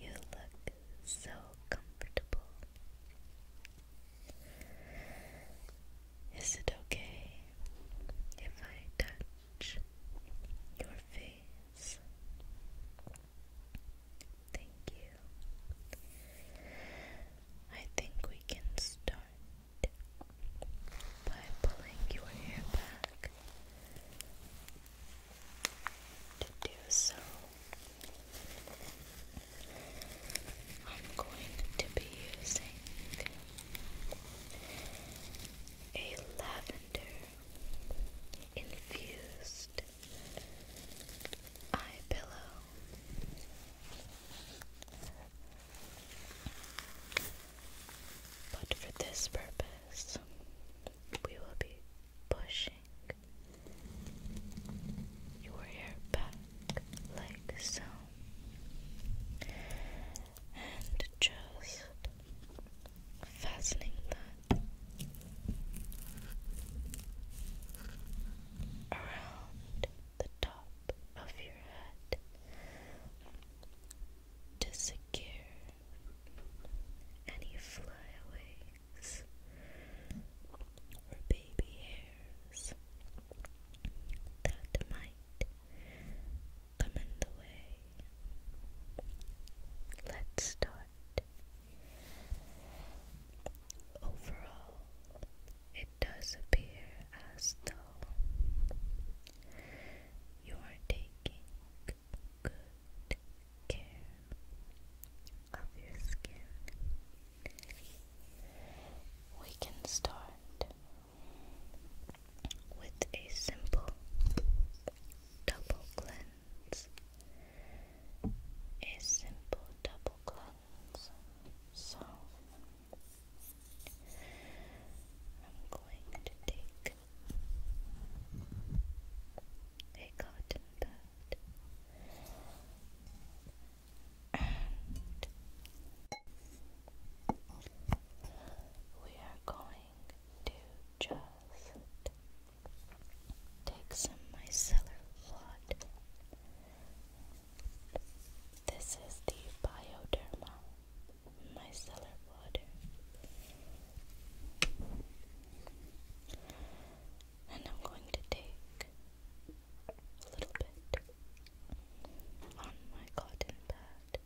You look so comfortable. Is it okay if I touch your face? Thank you. I think we can start by pulling your hair back to do so. I'm going to be using a lavender infused eye pillow. But for this purpose, we will be pushing your hair back like so, and just fastening that around the top of your head to secure any flyaways or baby hairs that might come in the way. Let's start. Overall, it does appear as though you are taking good care of your skin. We can start with a simple double cleanse. A simple double cleanse. So I'm going to take a cotton bud we are going to just take some micellar water. This is the Bioderma micellar water. And I'm going to take a little bit on my cotton pad.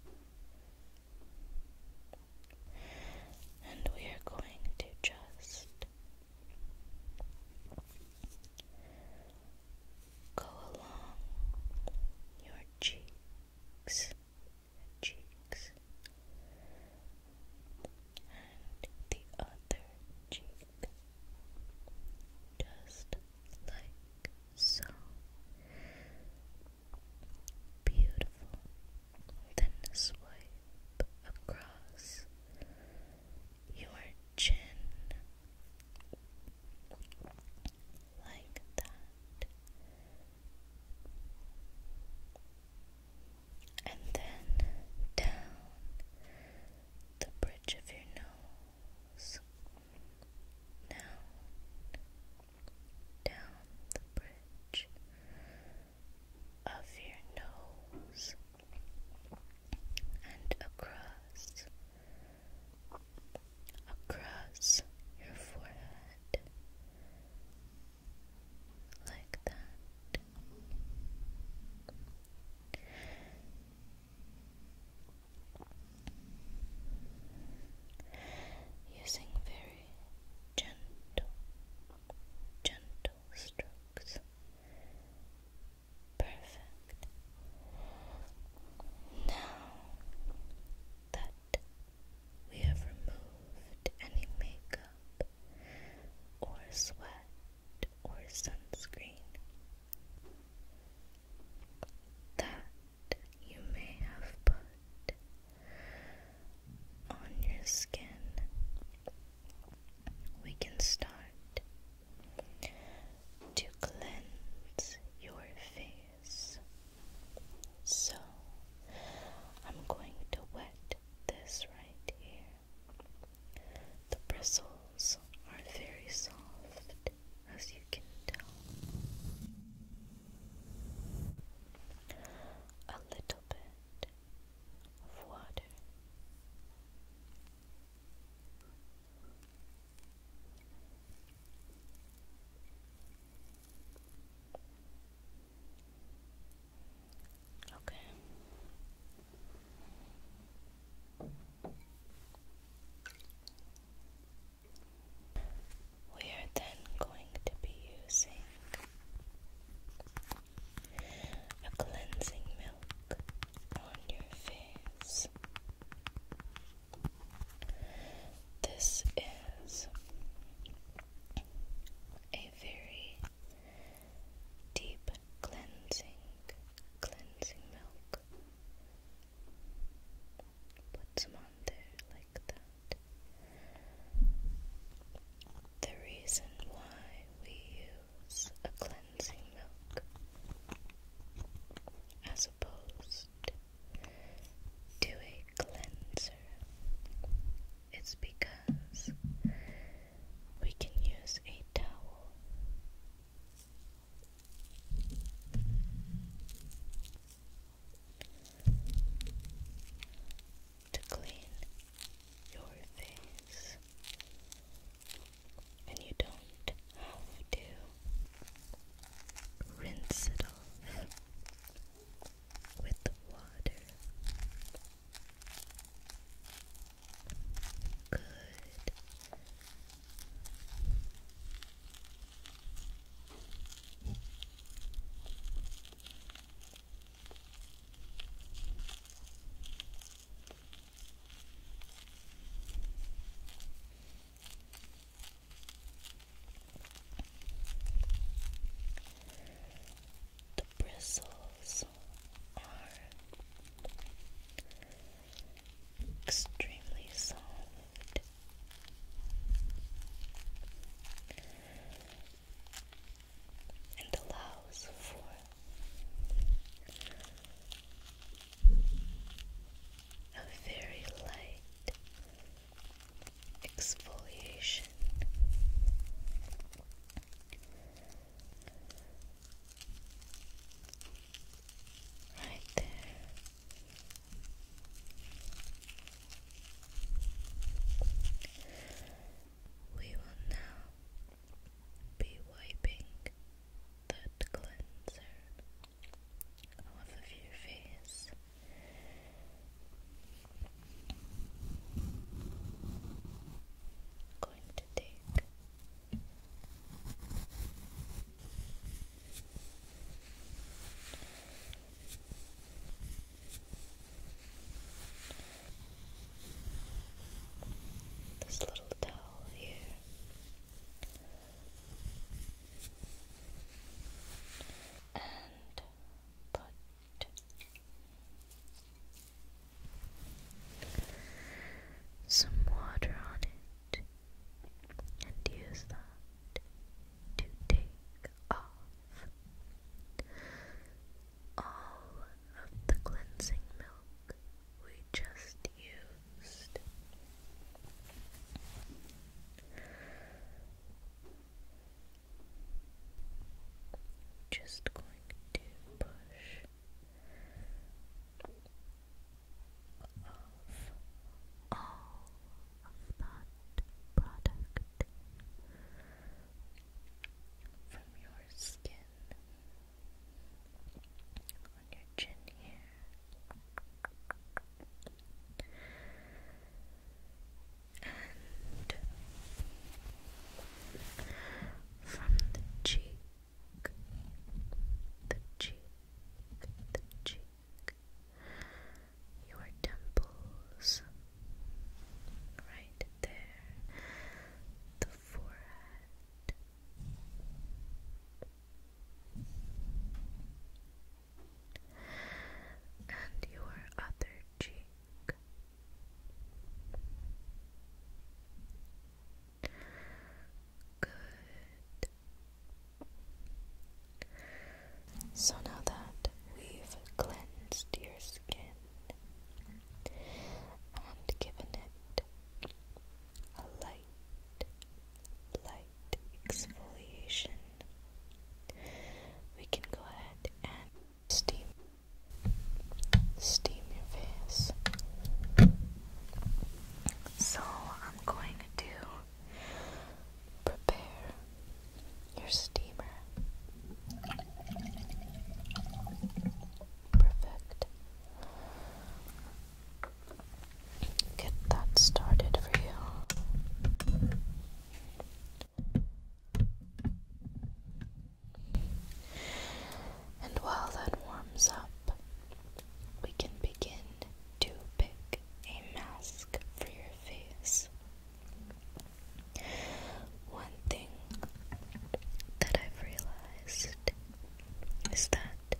And we are going to just go along your cheeks cheeks and the other cheek, just like so. Beautiful. Then swipe across your chin like that. And then down the bridge of your nose. Down, down the bridge of your nose and across, across your forehead like that. Using very gentle, gentle strokes. Perfect. Now that we have removed any makeup or sweat or sunscreen that you may have put on your skin. We can start to cleanse your face. So I'm going to wet this right here. The bristles are very soft, as you can tell. A little bit of water. Okay. We are then going to be using a cleansing milk on your face. This is a very deep cleansing, cleansing milk. Put some on there like that. The reason why we use a cleansing milk as opposed do a cleanser. It's because we can use a towel. To clean your face, and you don't have to rinse it off with the water. Good. The bristles are extremely soft. And allows for a very light exfoliation. Right there. We will now be wiping that cleanser of your face. going to take this little towel here and put some water on it and use that to take off all of the cleansing milk we just used. Just going to push off all of product from your skin on your chin here and from the cheek, the cheek, the cheek, your temples, right there, the forehead and your other cheek. Good. So now that we've cleansed your skin and given it a light, light exfoliation. We can go ahead and steam, steam your face. So I'm going to prepare your steamer. Perfect get that started for you. And while that warms up, we can begin to pick a mask for your face. One thing that I've realized is that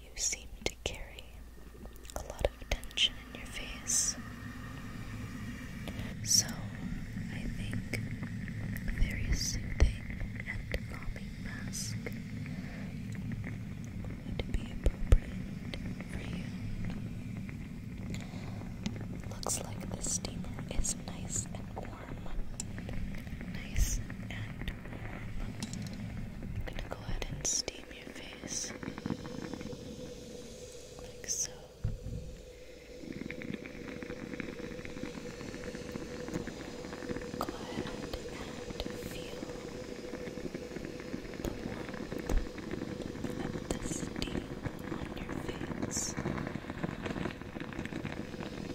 you seem to carry a lot of tension in your face. So, I think a very soothing and calming mask would be appropriate for you. Looks like the steamer is nice and warm. Nice and warm go ahead and steam your face like so. Go ahead and feel the warmth of the steam on your face.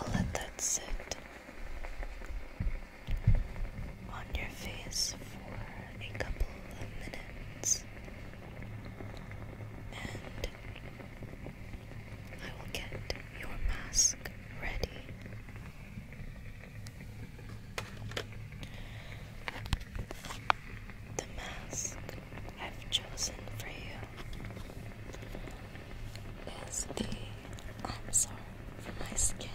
I'll let that sit on your face for a couple of minutes, and I will get your mask ready. The mask I've chosen for you is the Amsar for my skin.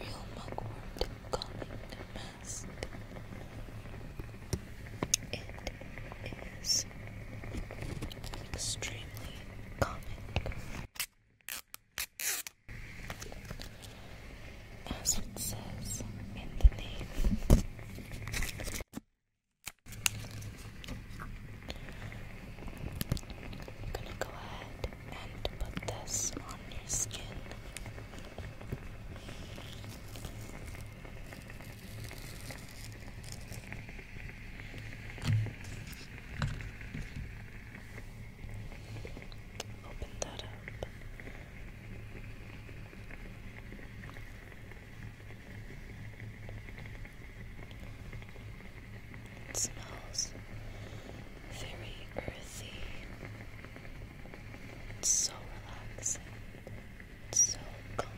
Real mugwort calling the It is extremely common. As it says in the name, I'm gonna go ahead and put this on your skin. Open that up. It smells very earthy. It's so relaxing. It's so calming.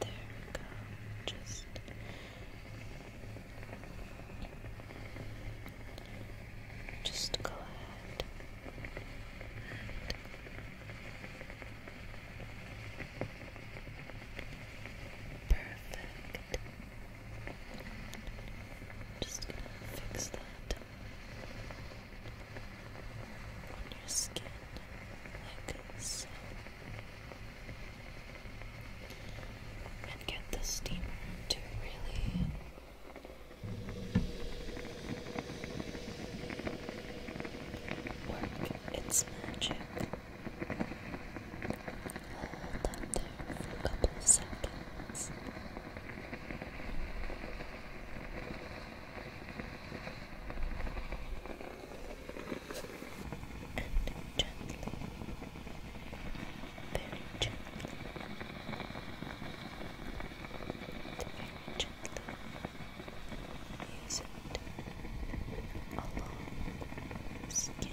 There we go. Just just go ahead Perfect. Just fix that on your skin like so. And get the steamer to really work its magic. Hold them there for a couple seconds. And gently, very gently, very gently use along skin. Perfect.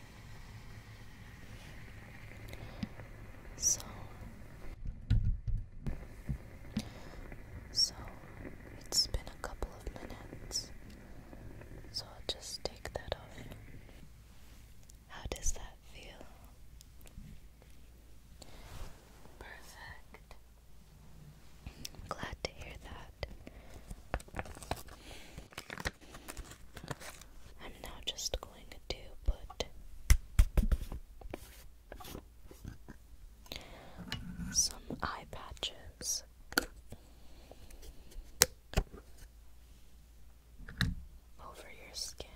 So, so it's been a couple of minutes, so I'll just take that off. How does that feel? Perfect. glad to hear that. I'm now just going to put some eye patches. Over your skin.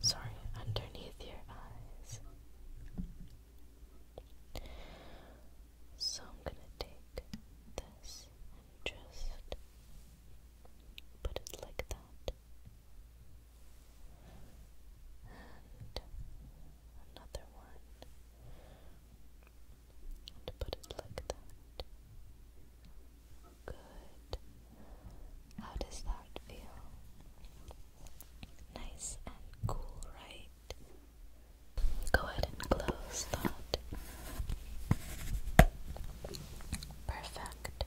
Sorry, underneath your eyes. So I'm gonna take this and just put it like that. And another one. And put it like that. Good. How does that feel? Nice and cool, right? Go ahead and close that. Perfect.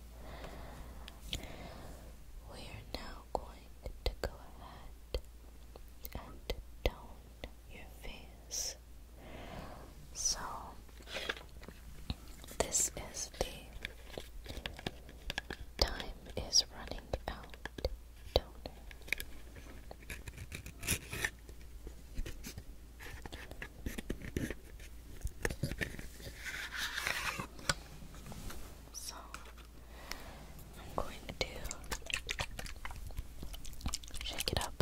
We are now going to go ahead and tone your face. So, this is the Time is running out, donor. So I'm going to shake it up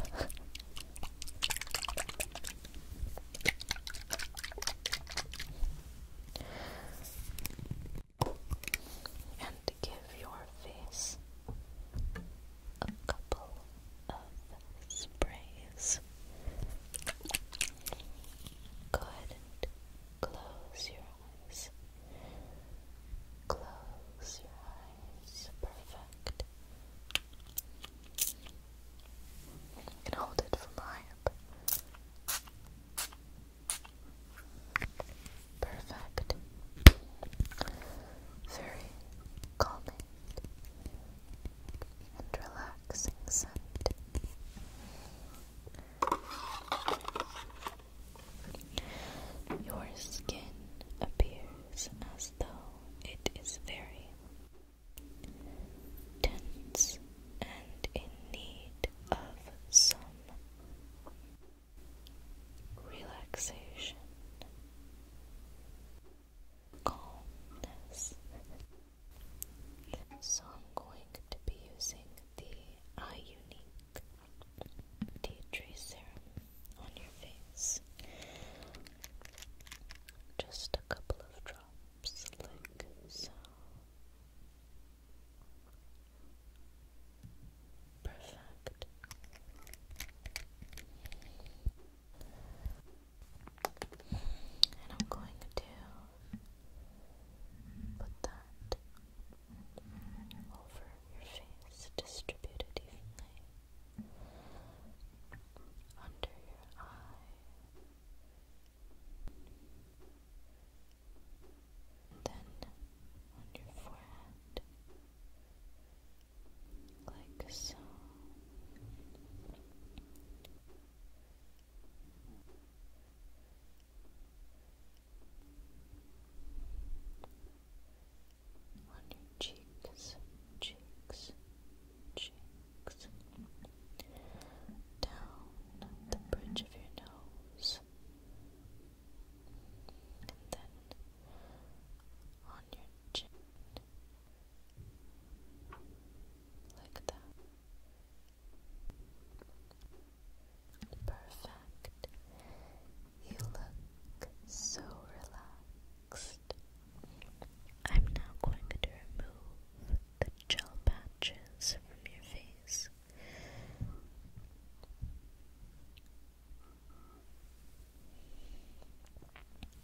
and give your face a couple of sprays. Go and close your eyes. Close your eyes. Perfect. And hold it from high Perfect. Very calming and relaxing scent. Your skin appears as though it is very tense and in need of some relaxation, calmness. So I'm going to be using the Eye Unique Tea Tree Serum on your face. Just a couple of drops, so. Perfect. And I'm going to put that over your face, distribute evenly under your eye. Then on your forehead, like so. On your cheeks, cheeks, cheeks cheeks, down the bridge of your nose, and then on your chin, like that. Perfect. You look so relaxed. I'm now going to remove the gel patches from your face.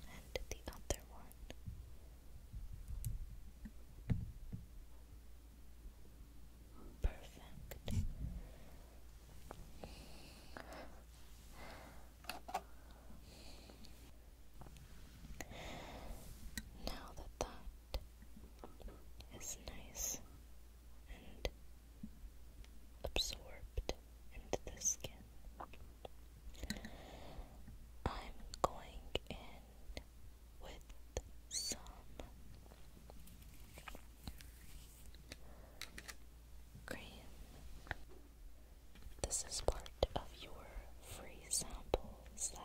And the other one. Perfect. Now that that is nice and absorbed into the skin, I'm going in with some. Cream. This is part of your free sample so,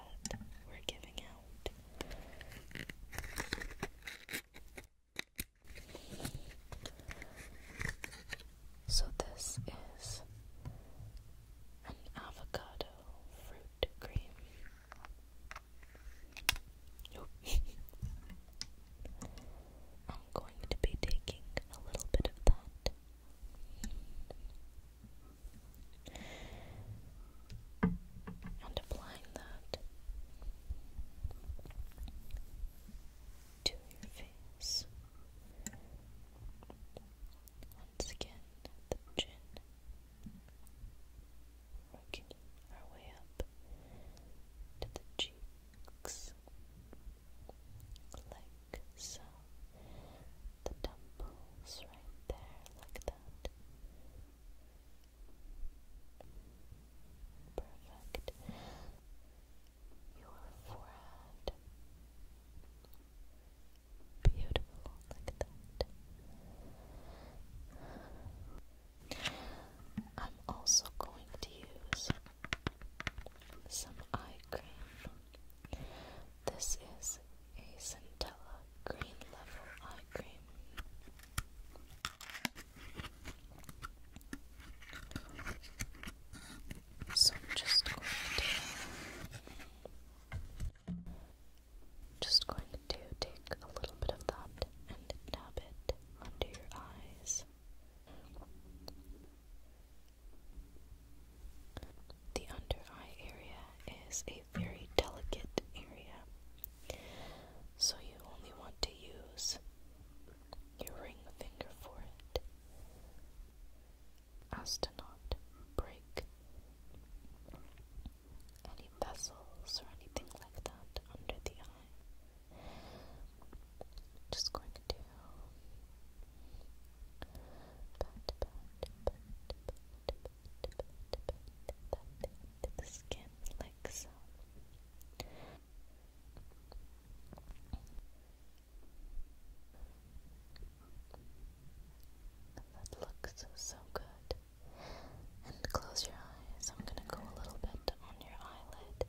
this is an avocado fruit cream. I'm going to be taking a little bit of that and applying that to your face. Once again, the chin, working our way up to the cheeks, so. The temples right there, like that. Perfect. Your forehead. Beautiful, like that. I'm also going to use some eye cream this is a Centella Green Level Eye Cream. So I'm just going to just going to take a little bit of that and dab it under your eyes. The under eye area is a very delicate area, so you only want to use your ring finger for it as to not break any vessels or anything like that under the eye. Just going to the skin like That looks so good. And close your eyes. I'm gonna go a little bit on your eyelid.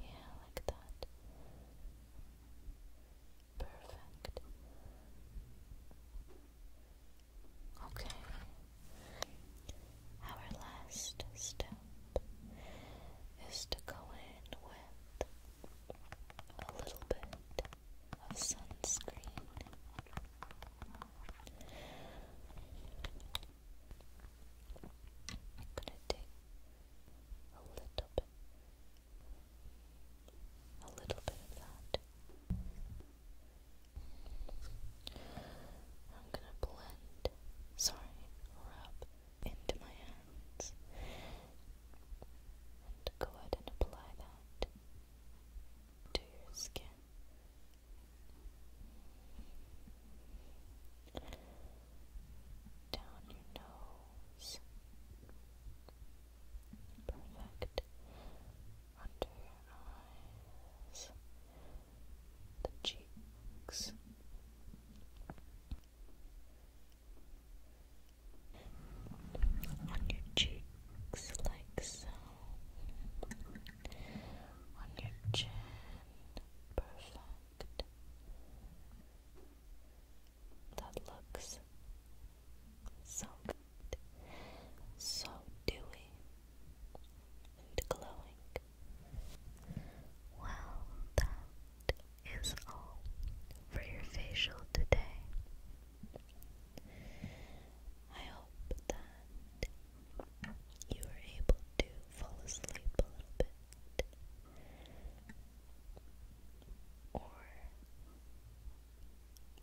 Yeah, like that. Perfect. Okay. Our last step is to go in with a little bit of sunscreen. I'm gonna a little bit, a little bit of that. I'm gonna blend, sorry, rub into my hands and go ahead and apply that to your skin down your nose. Perfect. Under your eyes, the cheeks. On your cheeks, like so. On your chin, perfect that looks so good, so dewy and glowing. Well, that is all for your facial today. I hope that you are able to fall asleep a little bit or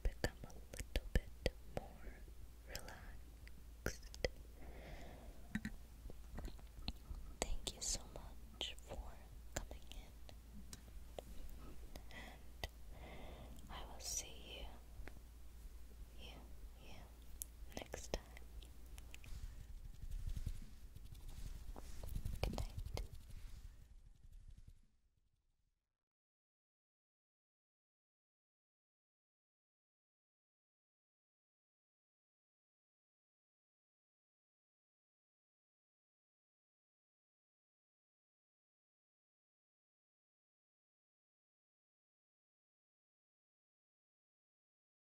become a little bit more relaxed. Thank you so much for coming in, and I will see you, you, you next time time. Good night.